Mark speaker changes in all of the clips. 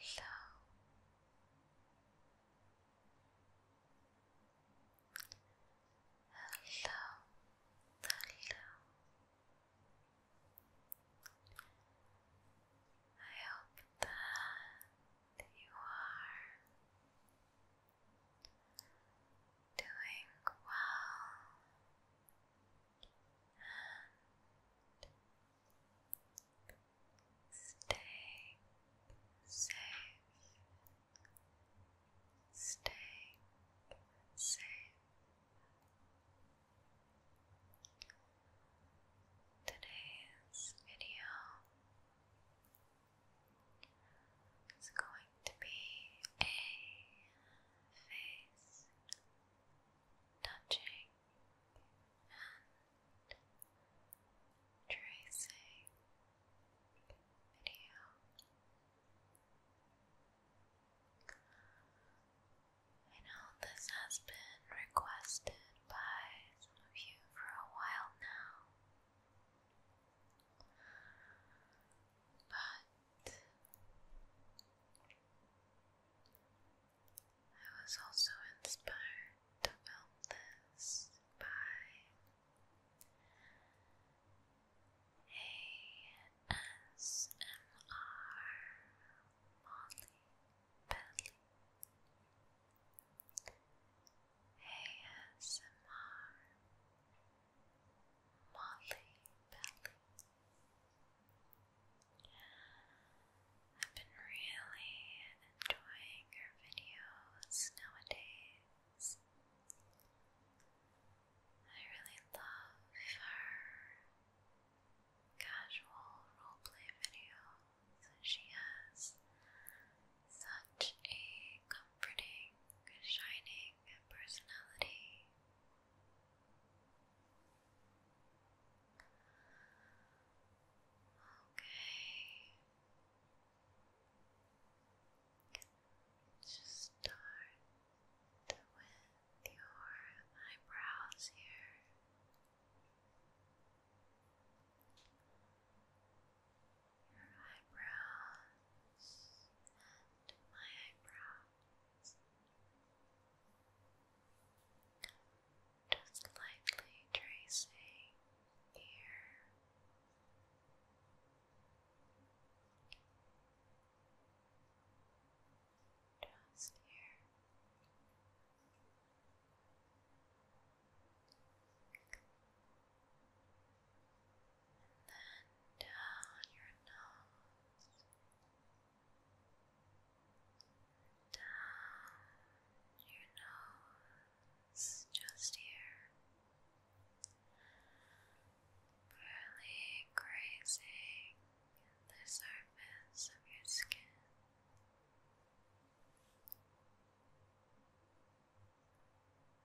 Speaker 1: Hello. Hello. Hello. I hope that you are doing well stay safe. Stay safe. Today's video is going to be a face touching and tracing video. I know this has been requested by some of you for a while now, but I was also inspired to film this by ASMR Molly Belly. ASMR Molly Belly. I've been really enjoying your videos nowadays. I really love her casual roleplay videos. She has such a comforting, shining personality. Okay. Just start with your eyebrows here. Your eyebrows and my eyebrow. Just lightly tracing here. Just here. And then down your nose down your nose, just here, barely grazing the surface of your skin.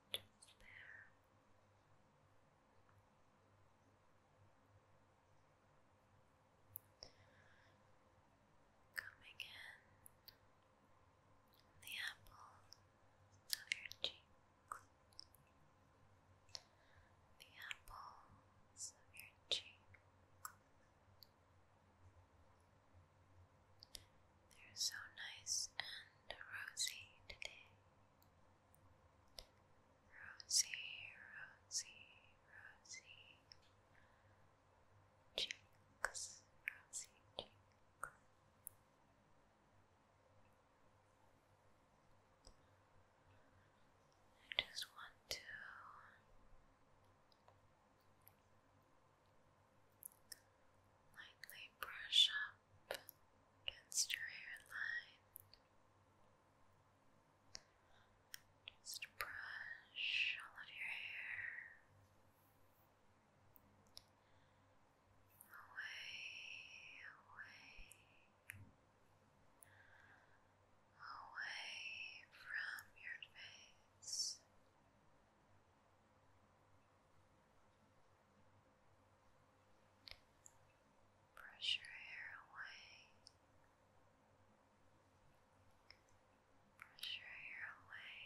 Speaker 1: Just there. Coming in the apples of your cheeks, the apples of your cheeks. They're so nice and rosy today rosy, rosy, rosy cheeks, I just want to lightly brush up against your hairline. Just brush all of your hair away, away, away from your face. Brush your hair away. Brush your hair away.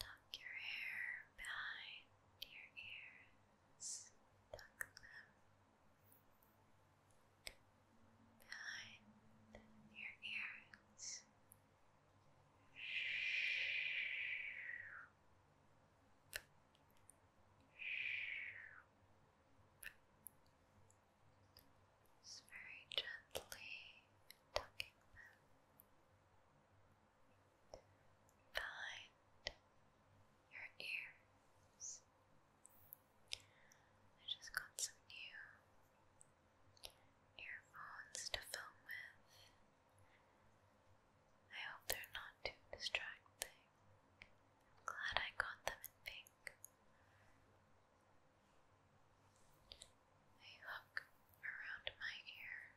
Speaker 1: Tuck your hair behind your ears. Tuck them behind your ears. Shh. Just very gently tucking them. Find your ears. I just got some new earphones to film with. I hope they're not too distracting. I'm glad I got them in pink. They hook around my ear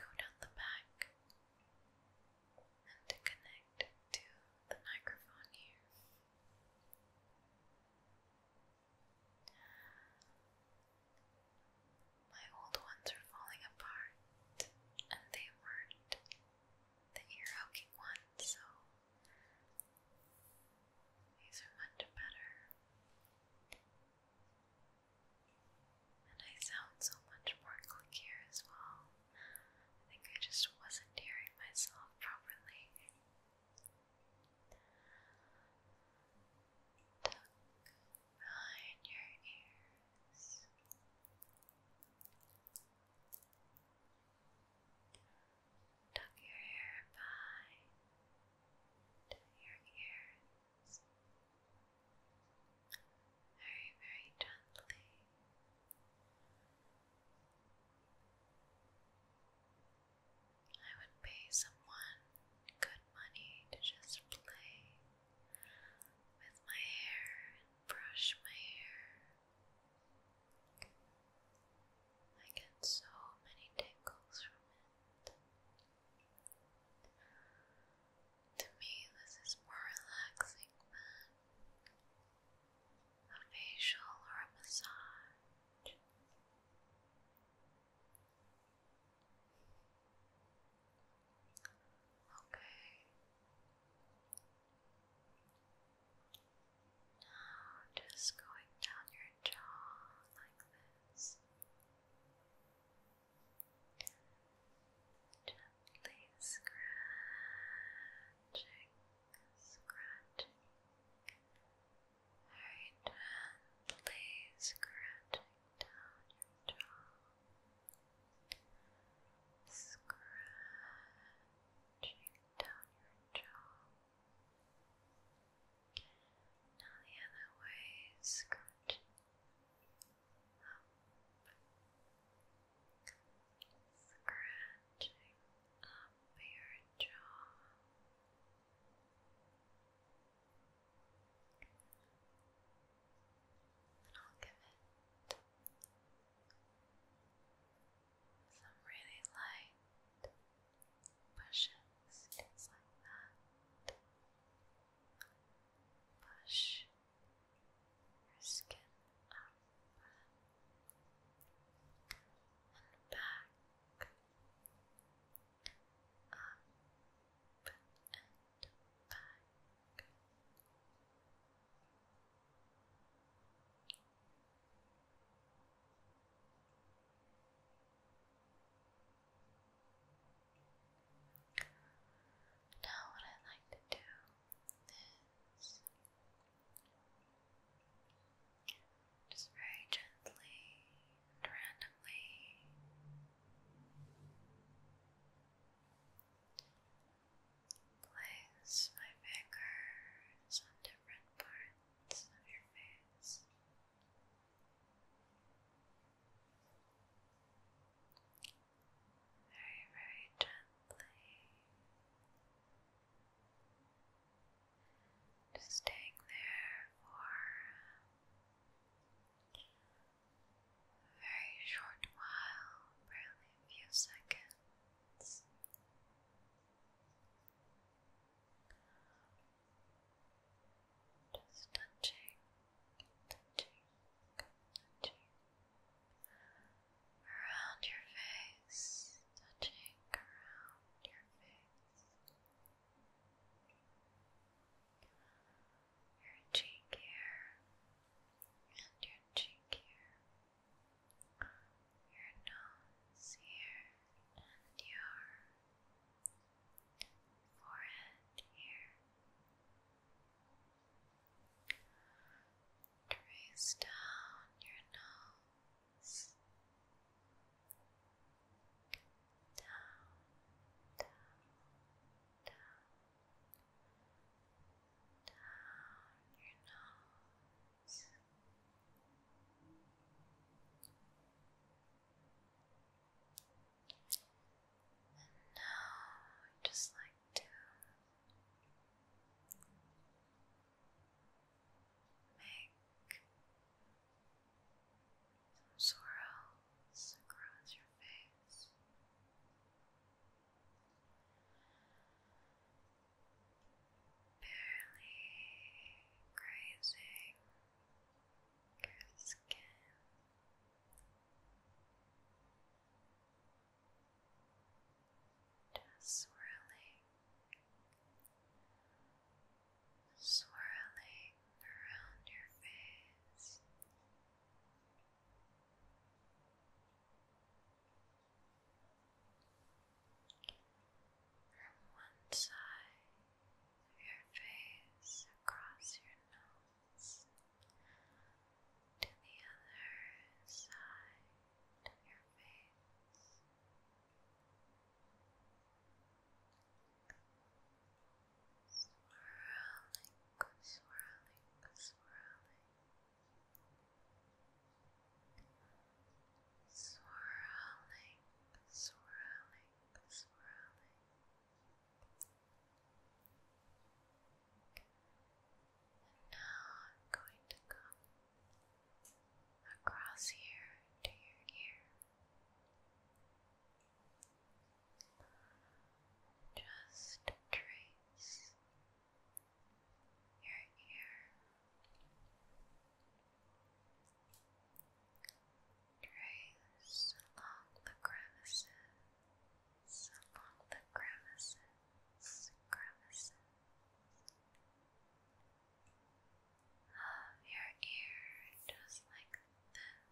Speaker 1: go down the back and connect to the microphone here. My old ones are falling apart, and they weren't the ear hooking ones, so these are much better. And I sound so much more clickier as well. I think I just wasn't hearing myself properly tuck behind your ears. Tuck your hair behind your ears very, very gently. I would pay someone good money to just play with my hair and brush my hair. I get so many tickles from it. To me, this is more relaxing than a facial or a massage. Okay. Now just going down your jaw like this. Gently scratching, scratching, very gently scratching down your jaw, scratching down your jaw. Now the other way, scratching up, scratching up your jaw, and I'll give it some really light pushes, like that. Push your skin up and back up and back. Now, what I like to do is just very gently and randomly. Place my fingers on different parts of your face. Very, very gently. Just staying there for very short while, barely a few seconds. Just touching, touching, touching around your face, touching around your face your cheek here, and your cheek here, your nose here, and your forehead here. Trace down your nose down, down, down, down your nose. And now, just like to make some swirls across your face. Barely grazing your skin. Just swirling swirling around your face. From one side of your face across your nose to the other side of your face. Swirling, swirling, swirling. Swirling, swirling, swirling. And now I'm going to come across here to your ear. Just trace your ear, trace along the crevices, along the crevices, crevices of your ear just like this.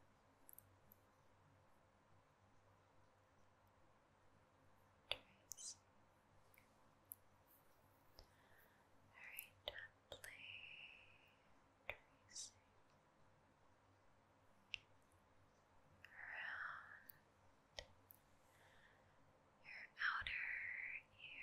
Speaker 1: Very gently tracing around your outer ear.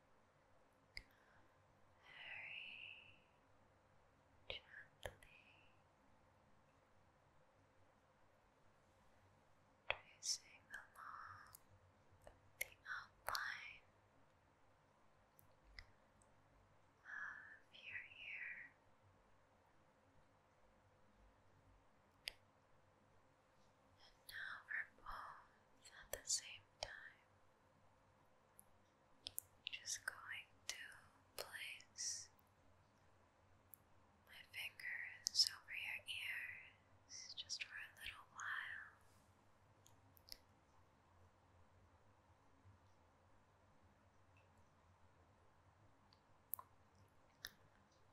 Speaker 1: very gently tracing along the outline of your ear and now at the same time. Just going to place my fingers over your ears just for a little while.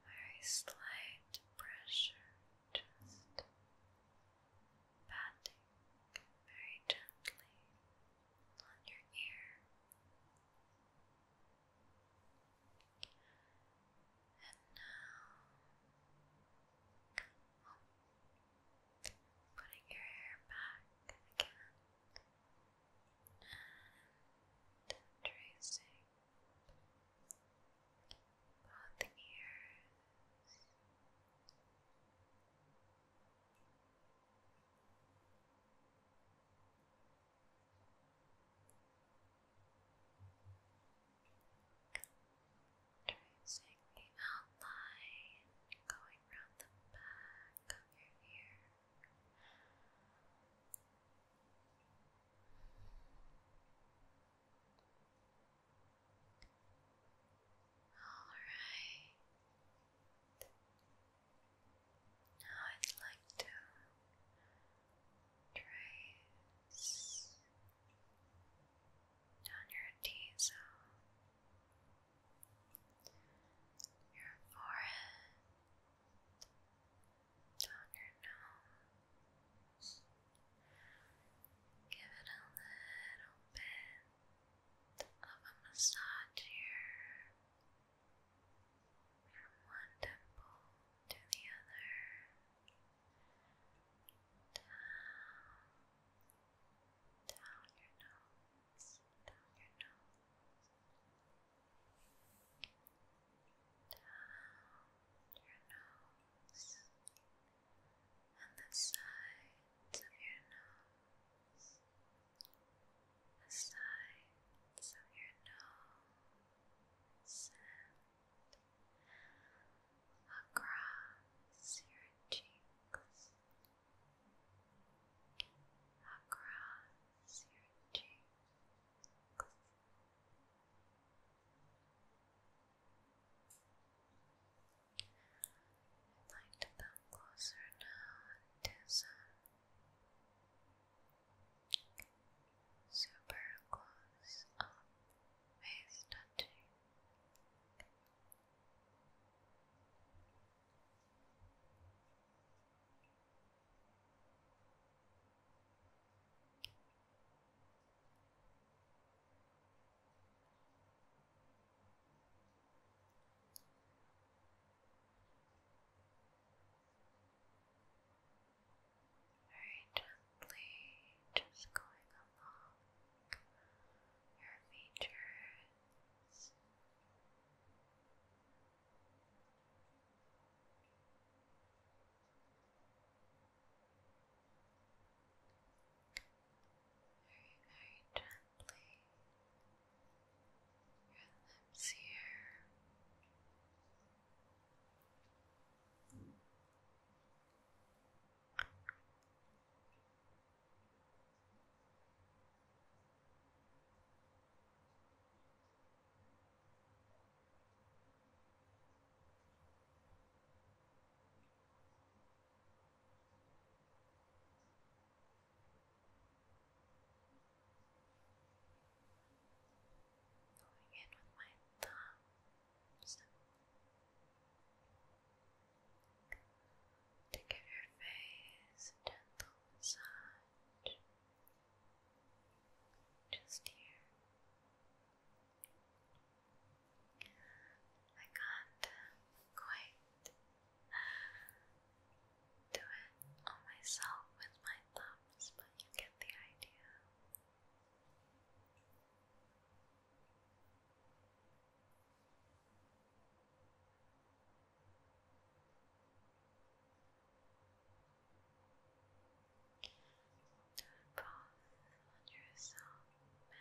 Speaker 1: Very slight pressure, just patting very gently on your ear. And now, putting your hair back again and tracing both ears. Tracing the outline going around the back of your ear. All right. Now I'd like to trace down your T-zone, your forehead, down your nose, Give it a little bit of a massage here from one temple to the other. Down, down your nose, down your nose, down your nose, on the sides of your nose, the sides of your nose, and across your cheeks, across your cheeks. I'd like to come closer now and some super close up face touching. Very gently, just going along your features. Very, very gently. Your lips here. Going in with my thumbs to give your face a gentle massage. Just here, I can't quite do it on myself with my thumbs, but you get the idea. Both on yourself and me.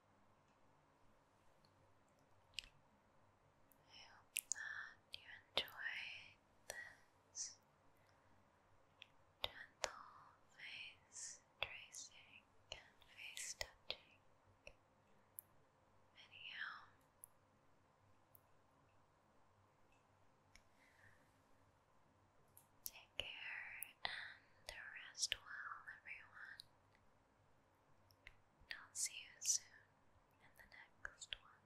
Speaker 1: I hope that you enjoyed this gentle face tracing and face touching video. Take care and rest well, everyone. I'll see you soon in the next one.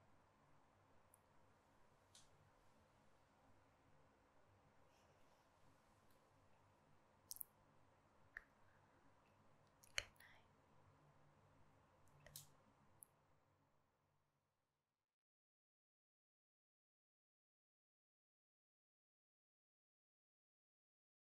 Speaker 1: Good night.